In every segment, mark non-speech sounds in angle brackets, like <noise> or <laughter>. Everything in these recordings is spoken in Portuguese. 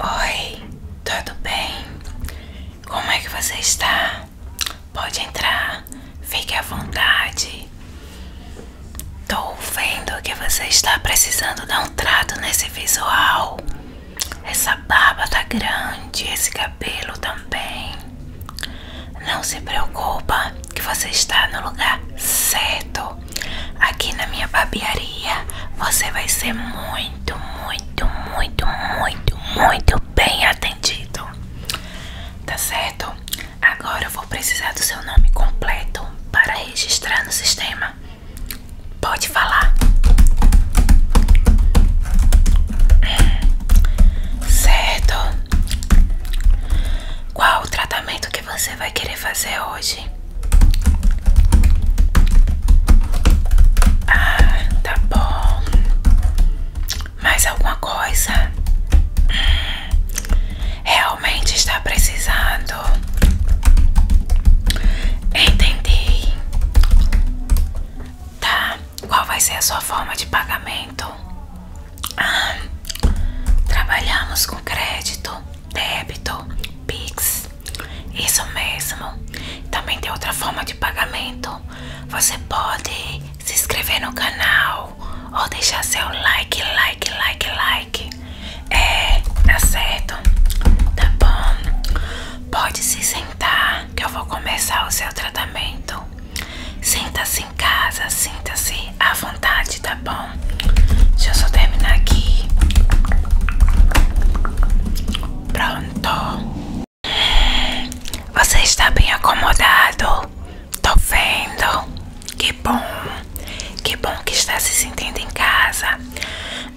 Oi, tudo bem? Como é que você está? Pode entrar, fique à vontade. Tô vendo que você está precisando dar um trato nesse visual. Essa barba tá grande, esse cabelo também. Não se preocupa que você está no lugar certo. Aqui na minha barbearia você vai ser muito, muito, muito, muito, muito bem atendido. Tá certo? Agora eu vou precisar do seu nome completo para registrar no sistema. Pode falar. Certo. Qual o tratamento que você vai querer fazer hoje? Ah, tá bom. Mais alguma coisa? Hum, realmente está precisando. Entendi. Tá. Qual vai ser a sua forma de pagamento? Ah, trabalhamos com crédito, débito, Pix. Isso mesmo. Também tem outra forma de pagamento. Você pode se inscrever no canal ou deixar seu like, like, like, like. É, tá certo? Tá bom. Pode se sentar que eu vou começar o seu tratamento. Sinta-se em casa, sinta-se à vontade, tá bom? Deixa eu só terminar aqui. Pronto. Você está bem acomodado? Tô vendo. Que bom. Que bom que está se sentindo em casa.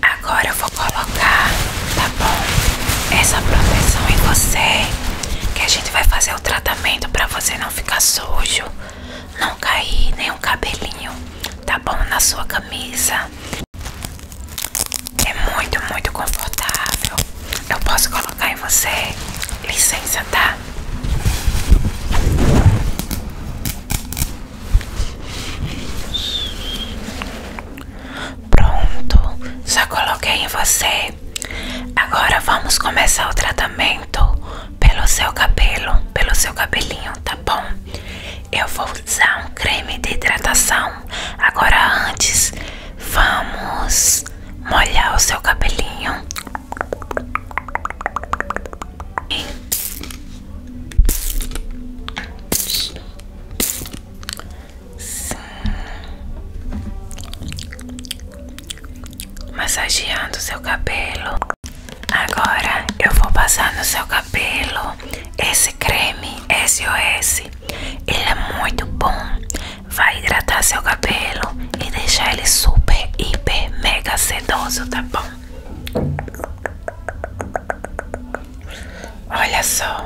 Agora eu vou colocar, tá bom? Essa proteção em você, que a gente vai fazer o tratamento para você não não ficar sujo, não cair nenhum cabelinho, tá bom? Na sua camisa. É muito, muito confortável. Eu posso colocar em você? Licença, tá? Pronto, já coloquei em você. Agora vamos começar o tratamento pelo seu cabelo, pelo seu cabelinho, tá bom? Eu vou usar um creme de hidratação. Agora antes, vamos molhar o seu cabelinho. Sim massageando seu cabelo. Agora eu vou passar no seu cabelo esse creme SOS. Ele é muito bom, vai hidratar seu cabelo e deixar ele super, hiper, mega sedoso, tá bom? Olha só.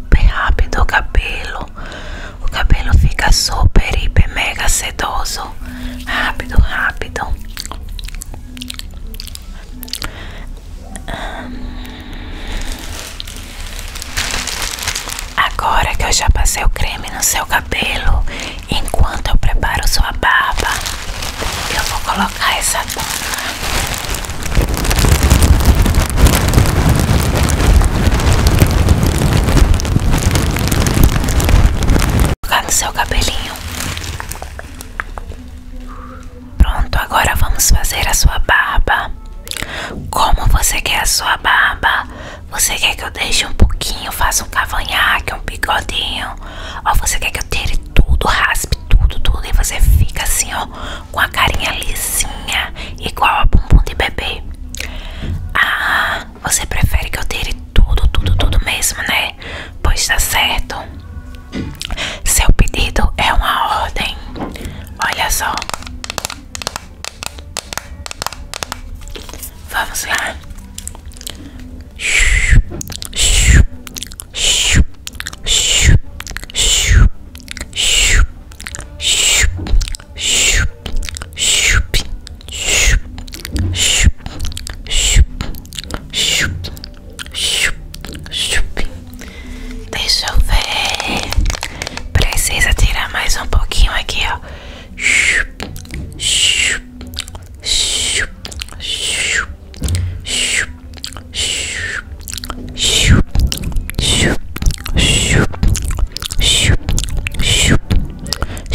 super rápido o cabelo. O cabelo fica super, hiper, mega sedoso. Rápido, rápido. Agora que eu já passei o creme no seu cabelo, enquanto eu preparo sua barba, eu vou colocar essa Vou colocar no seu cabelinho. Pronto, agora vamos fazer a sua barba. Como você quer a sua barba? Você quer que eu deixe um pouquinho, faça um cavanhaque, um bigodinho? Ou você quer que eu tire tudo, raspe tudo, tudo e você fica assim, ó, com a carinha lisinha, igual a bumbum de bebê. Ah, você prefere que eu tire tudo, tudo, tudo mesmo, né? Pois tá certo. Seu pedido é uma ordem. Olha só. Vamos lá. Shup, shup, shup. Deixa eu ver. Precisa tirar mais um pouquinho aqui, ó. Shup, shup, shup, shup, shup,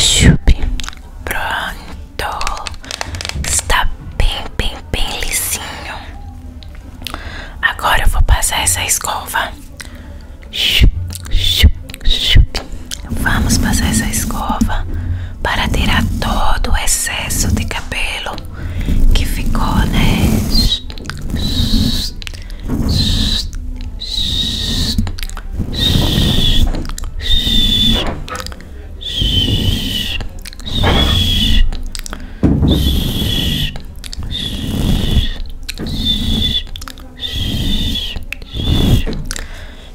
Chup, pronto, está bem, bem, bem lisinho. Agora eu vou passar essa escova. Chup, chup, chup. Vamos passar essa escova para tirar todo o excesso de cabelo que ficou, né?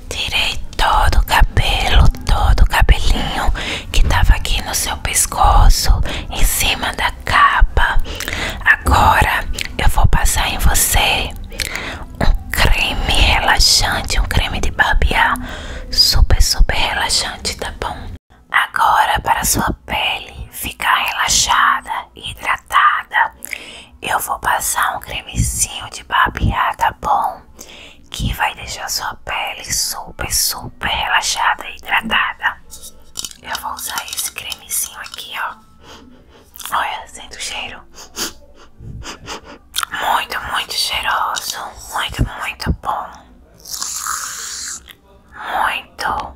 Tirei todo o cabelo, todo o cabelinho que tava aqui no seu pescoço, em cima da capa. Agora eu vou passar em você um creme relaxante, um creme de barbear super, super relaxante, tá bom? Agora, para sua pele ficar relaxada e hidratada, eu vou passar um cremezinho de barbear, tá bom? Que vai deixar sua pele super, super relaxada e hidratada. Eu vou usar esse cremezinho aqui, ó. Olha, sente o cheiro. Muito, muito cheiroso. Muito, muito bom. Muito.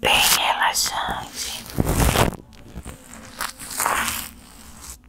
Bem relaxante.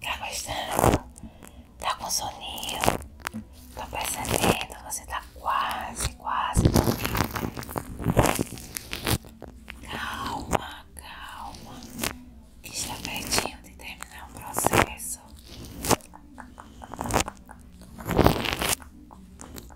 Tá gostando? Tá com soninho? Tá percebendo? Você tá quase, quase dormindo. Calma, calma. Está pertinho de terminar o processo.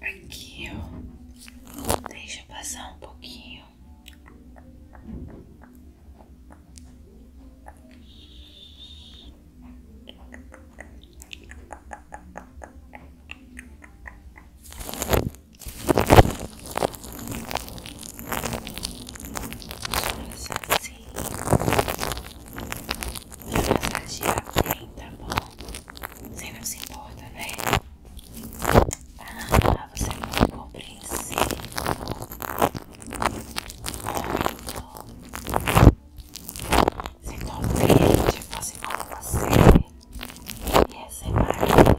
aqui, Deixa passar um pouquinho. Assim, assim. Vou bem tá bom? Você não se importa, né? Ah, tá. você é muito compreensivo. Muito. Você tá compreende, você como você. E é maravilhosa.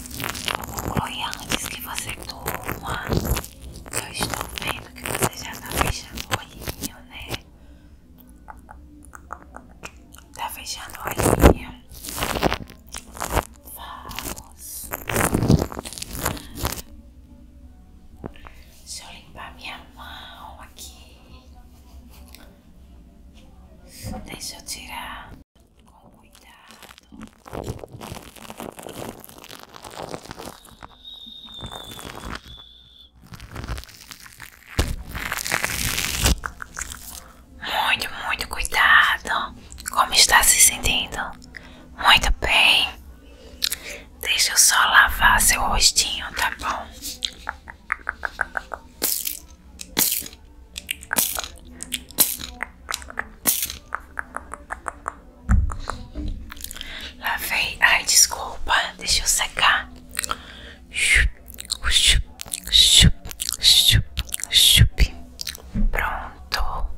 Foi antes que você durma. Eu estou vendo que você já está fechando o olhinho, né? Está fechando o olhinho. Vamos. Deixa eu limpar minha mão aqui. Deixa eu tirar com cuidado. Muito, muito cuidado. Como está se sentindo? Muito bem. Deixa eu só lavar seu rostinho, tá bom? Lavei. Ai, desculpa. deixe eu secar. Pronto.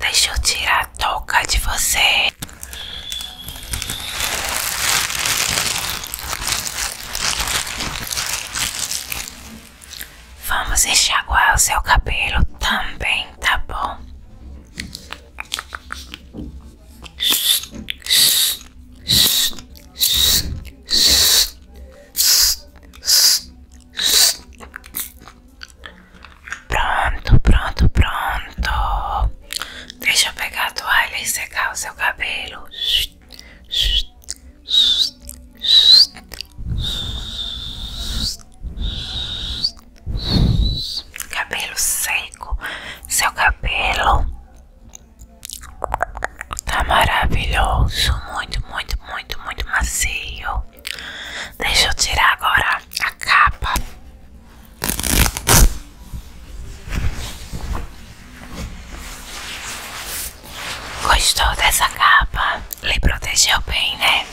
Deixe eu tirar a toca de você. Vamos enxaguar o seu cabelo também, tá bom? Pronto, pronto, pronto. Deixa eu pegar a toalha e secar o seu cabelo. Cabelo seco, seu cabelo tá maravilhoso, muito, muito, muito, muito macio. Deixa eu tirar agora a capa. Gostou dessa capa? Lhe protegeu bem, né?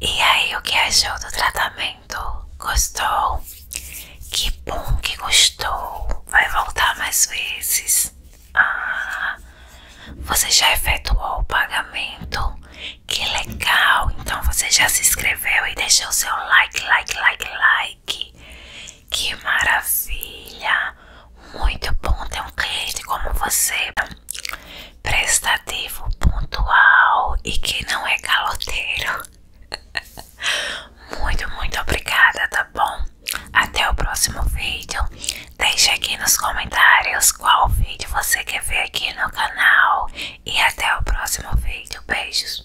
E aí, o que achou do tratamento? Gostou? Que bom que gostou! Vai voltar mais vezes. Ah, você já efetuou o pagamento? Que legal! Então você já se inscreveu e deixou seu like, like, like, like. Que maravilha! Muito bom ter um cliente como você, prestativo, pontual e que não é caloteiro. <laughs> Muito, muito obrigada, tá bom? Até o próximo vídeo. Deixe aqui nos comentários qual vídeo você quer ver aqui no canal. E até o próximo vídeo. Beijos.